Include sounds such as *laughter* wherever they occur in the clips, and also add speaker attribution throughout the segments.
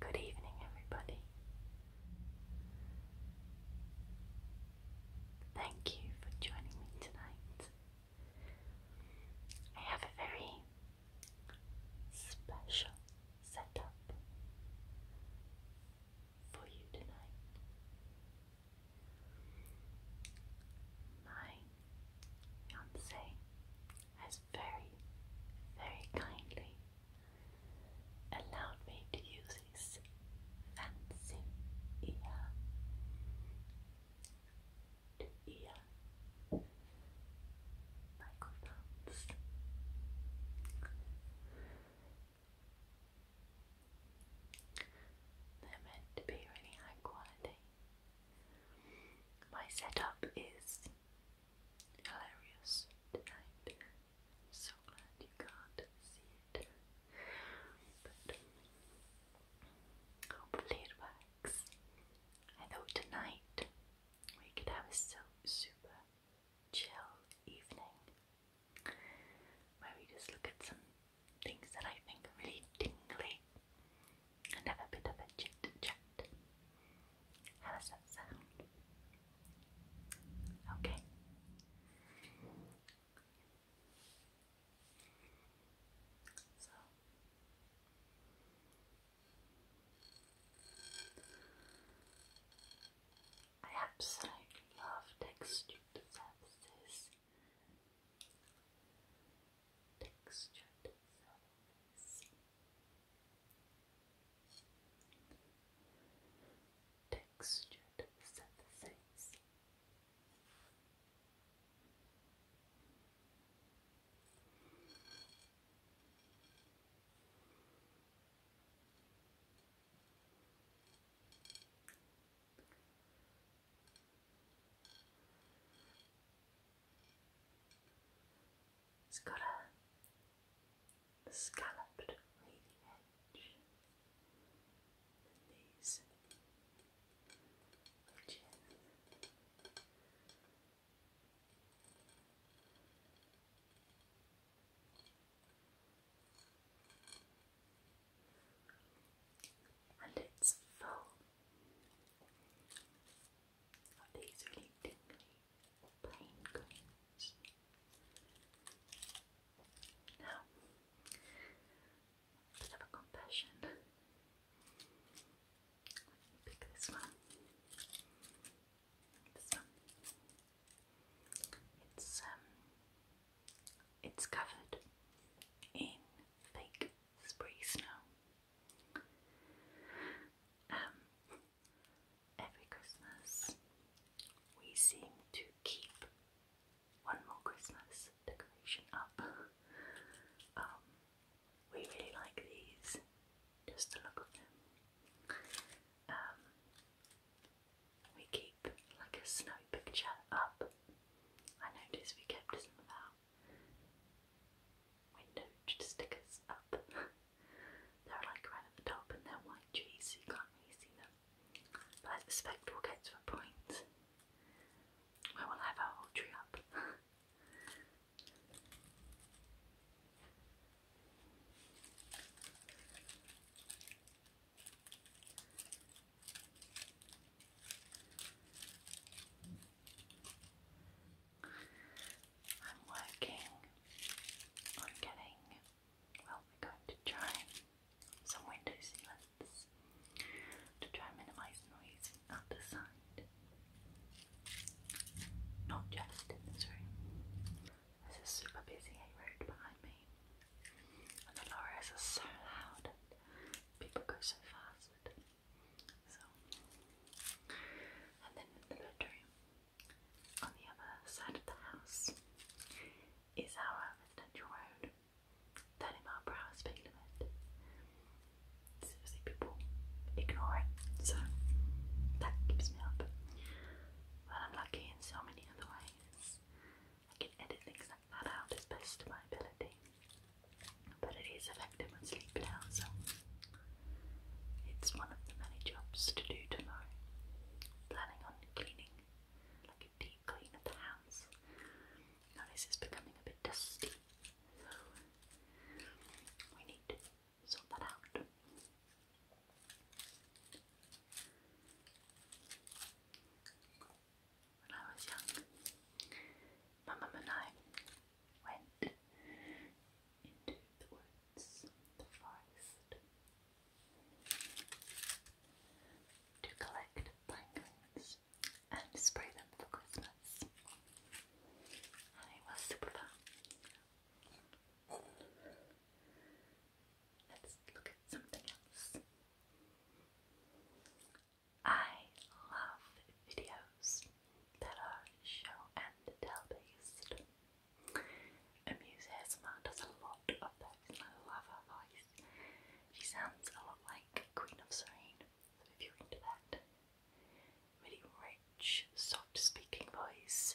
Speaker 1: Good evening, everybody. Thank you for joining me tonight. I have a very special setup for you tonight. My fiance has very, very kindly allowed me to use his fancy ear ear microphones. They're meant to be really high quality. My setup is hilarious tonight. I'm so glad you can't see it. But hopefully it works. I thought tonight we could have a so super chill evening where we just look at some things that I think are really tingly and have a bit of a chat. How does that sound? Okay. So I absolutely love textured surfaces textured surface textured surfaces it's got a scalloped edge, these and it's full of these really tingly plain greens. Now, bit of a confession. pick this one. This one. It's um it's covered in fake spray snow. Um, every Christmas, we seem to keep one more Christmas decoration up. Um, we really like these, just the look of them. Um, we keep like a snow picture up. I noticed we kept some of our window stickers up. *laughs* They're like right at the top and they're white trees so you can't really see them. But I suspect we to a point we'll have our whole tree up. *laughs* I'm working on getting, well, we're going to try some window sealants to try and minimise noise at not just in this room. This is super busy A road behind me. And the lorries are so loud people go so fast. So and then in the bedroom on the other side of the house is our residential road. 30 mile per hour speed limit. Seriously, people ignore it, so that keeps me up. But I'm lucky in so many other ways. I can edit things like that out as best to my ability. But it is effective when sleeping out, so it's one of the many jobs to do tomorrow. Planning on cleaning, like a deep clean of the house. Notice it's becoming a bit dusty, so we need to sort that out. When I was young, my and I went into the woods, the forest, to collect planklings and spray them for Christmas. And it was super fun. Let's look at something else. I love videos that are show and tell based. Amuse does a lot of those I love her voice. She sounds a lot like Queen of Serene, so if you're into that really rich, soft speaking voice,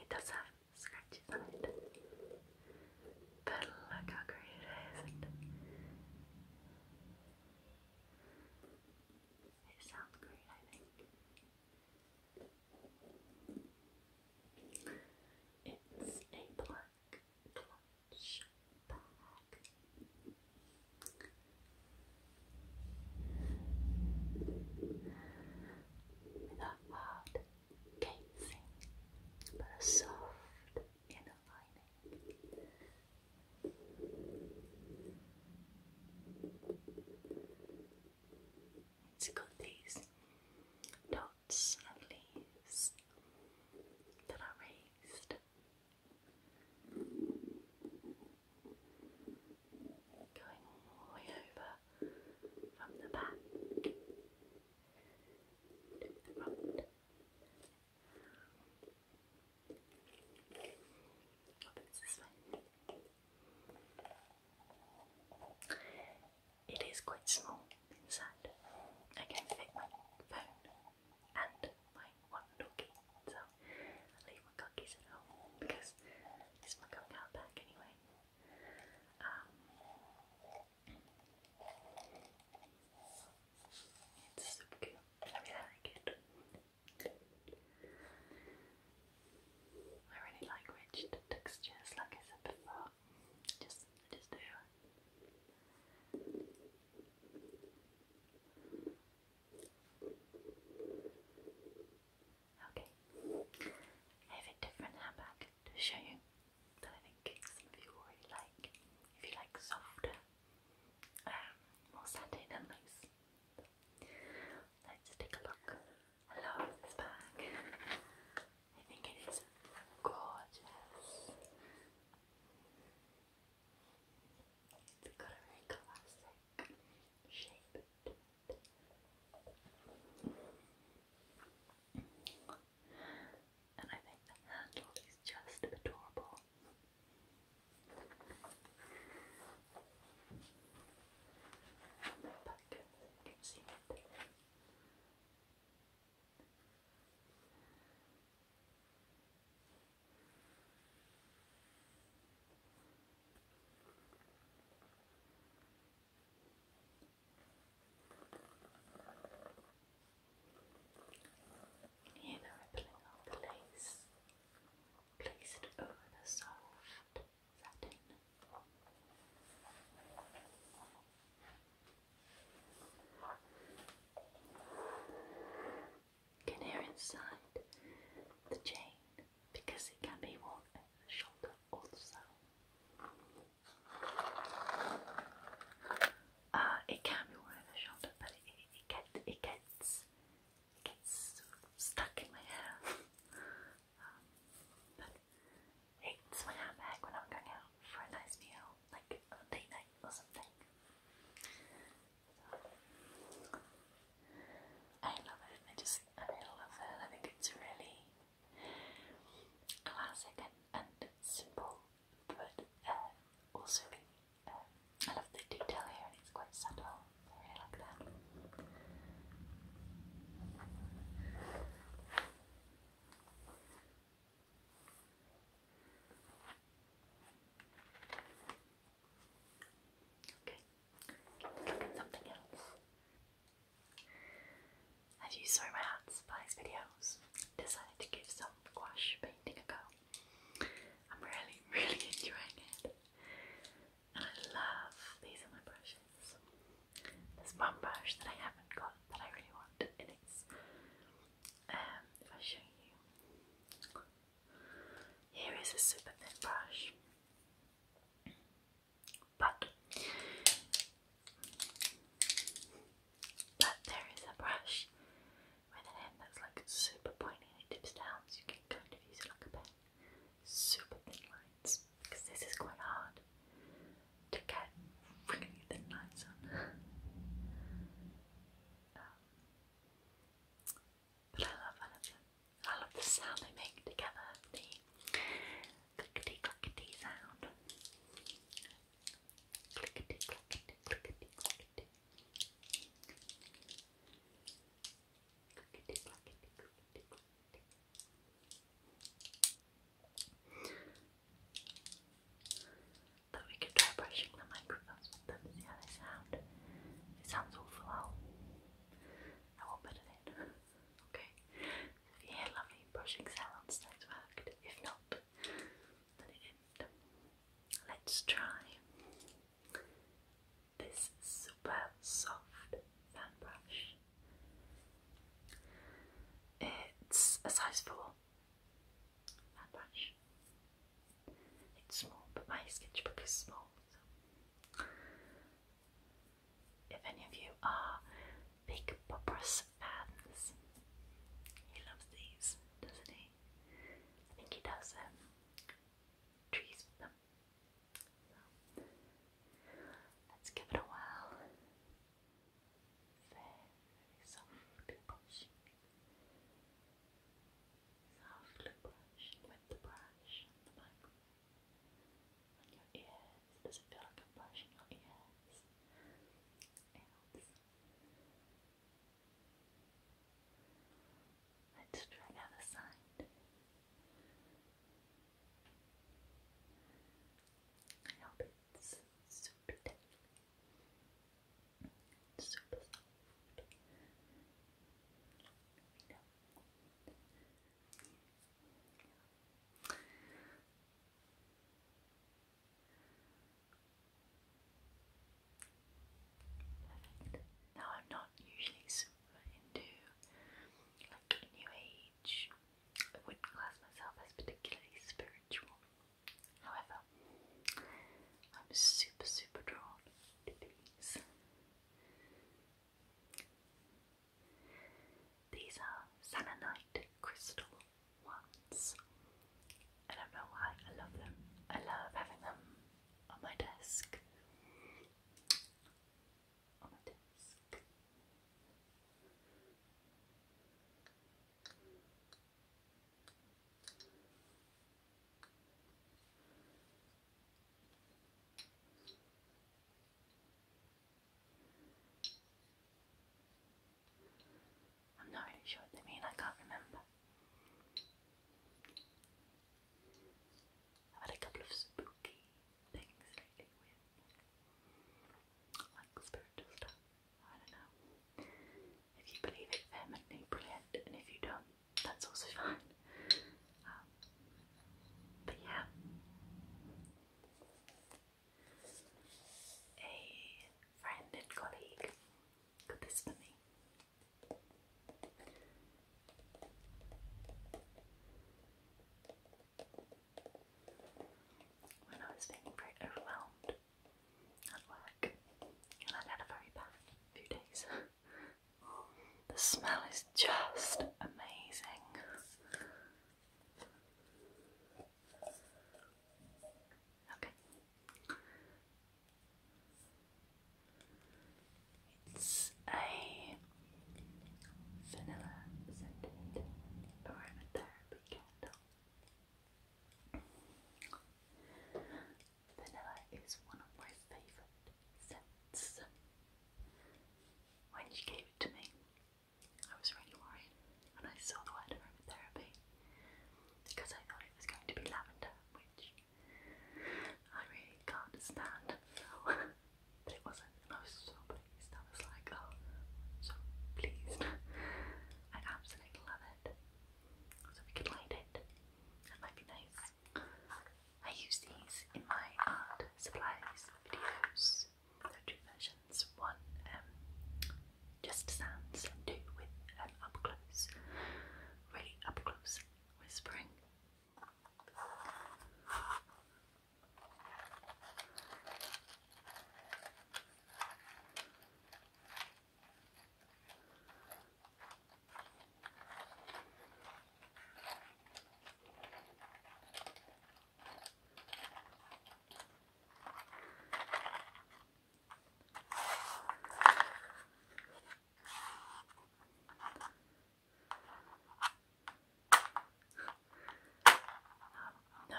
Speaker 1: It does have scratches on it. But look how great it is. It sounds great, I think. It's a black plush bag without hard casing, but a soft inner lining. It's got these dots and leaves that are raised going all the way over from the back to the front It is quite small inside. I can fit my phone and my one doggy, so I leave my cookies at home because it's my going out back anyway. Um, it's super cute. I really like rich textures, like I said before. Just, just do. Okay. I have a different handbag to show you that I think some of you will like. If you like softer, um, more satin and loose. Let's take a look. I love this bag. I think it is gorgeous. It's got a very classic shape and I think the handle is just adorable. You know, rippling up lace, place it over the soft satin can hear inside the chain because it can be worn over the shoulder also. Uh, it can be worn over the shoulder, but it, it, it, it gets it gets stuck in my hair. *laughs* Um, but it's my handbag when I'm going out for a nice meal, like a date night or something. I love it. I just, I love it. I think it's really classic and, and simple, but uh, also um, I love the detail here. and It's quite subtle. I really like that. Okay, let's look at something else. As you saw in my Art Supplies videos, I decided to give some gouache painting a go. I'm really, *laughs* really enjoying it. And I love these are my brushes. There's one brush that I haven't got that I really want, and it's um if I show you here is a super thin brush, but but there is a brush with an end that's like super pointy it dips down, so you can kind of use it like a pen. Super thin lines because this is quite hard to get really thin lines on. *laughs* Um, but I love, I love them. I love the sound they make together, the clickety clickety sound. Clickety clickety clickety clickety. Clickety clickety clickety clickety. Though we could try brushing the microphones that was the other sound. It sounds awful loud. I won't okay. if you lovely brushing sounds, that's worked. If not, then Let's try this super soft fan brush. It's a size 4 fan brush. It's small, but my sketchbook is small. So. If any of you are big Bobros fans, he loves these, doesn't he? I think he does um, trees let's give it a whirl. Very, very softly pushing. Softly brush with the brush on the microphone. On your ears. Does it feel like I'm brushing your ears? Let's try the other side. I hope it's super deadly. Now I'm not usually super into like new age. I wouldn't class myself as particularly spiritual. However, I'm super super drawn degrees. These are Sanonite crystal ones. I don't know why I love them. I love having them on my desk. On my desk. I'm not really sure what they mean, I can't remember. i had a couple of spooky things lately with like spiritual I don't know. If you believe it vehemently, brilliant, and if you don't, that's also *laughs* fine. Um, but yeah, a friend and colleague got this for me. When I was feeling pretty overwhelmed at work, and i had a very bad few days. *laughs* the smell is just amazing. Okay. It's a vanilla scented aromatherapy candle. Vanilla is one of my favourite scents. When you gave it to me, I was really worried when I saw the word aromatherapy because I thought it was going to be lavender, which I really can't stand. *laughs* but it wasn't, I was so pleased. I was like, oh, so pleased. *laughs* I absolutely love it so we could light it. That might be nice. I use these in my art supplies videos. two versions. One um, just sounds two with um, up close, really up close whispering. Um, no.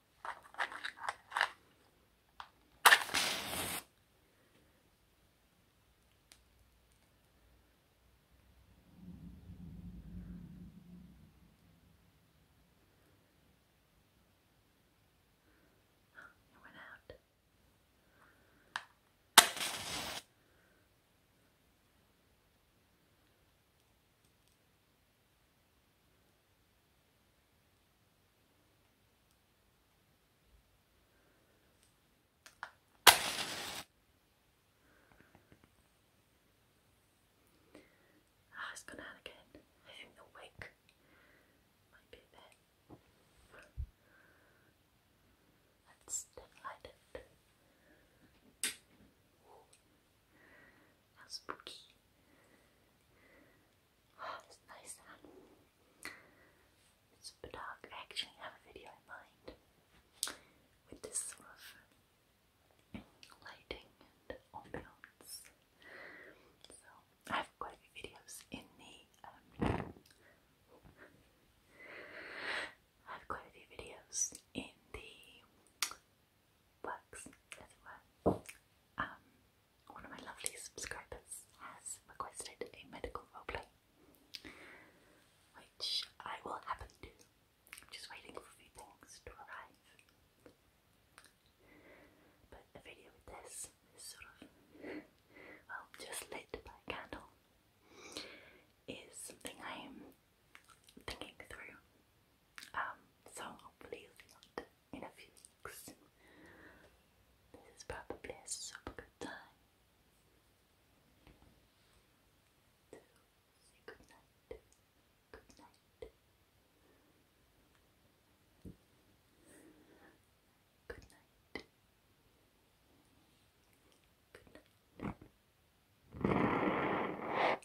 Speaker 1: It went out. Ah, it's gone out again. I think the wig might be there. Let's light it. spooky it's nice super dark. I actually have a video in mind with this sort of lighting and ambience. So I have quite a few videos in the um, I have quite a few videos in the works, as it were. Um, one of my lovely subscribers has requested a medical roleplay, which I will happen do. just waiting for a few things to arrive. But a video with this sort of, well, just lit by candle, is something I am thinking through. Um, so hopefully it's not in a few weeks. This is probably a super good time good night. Good night. Good night. Good night.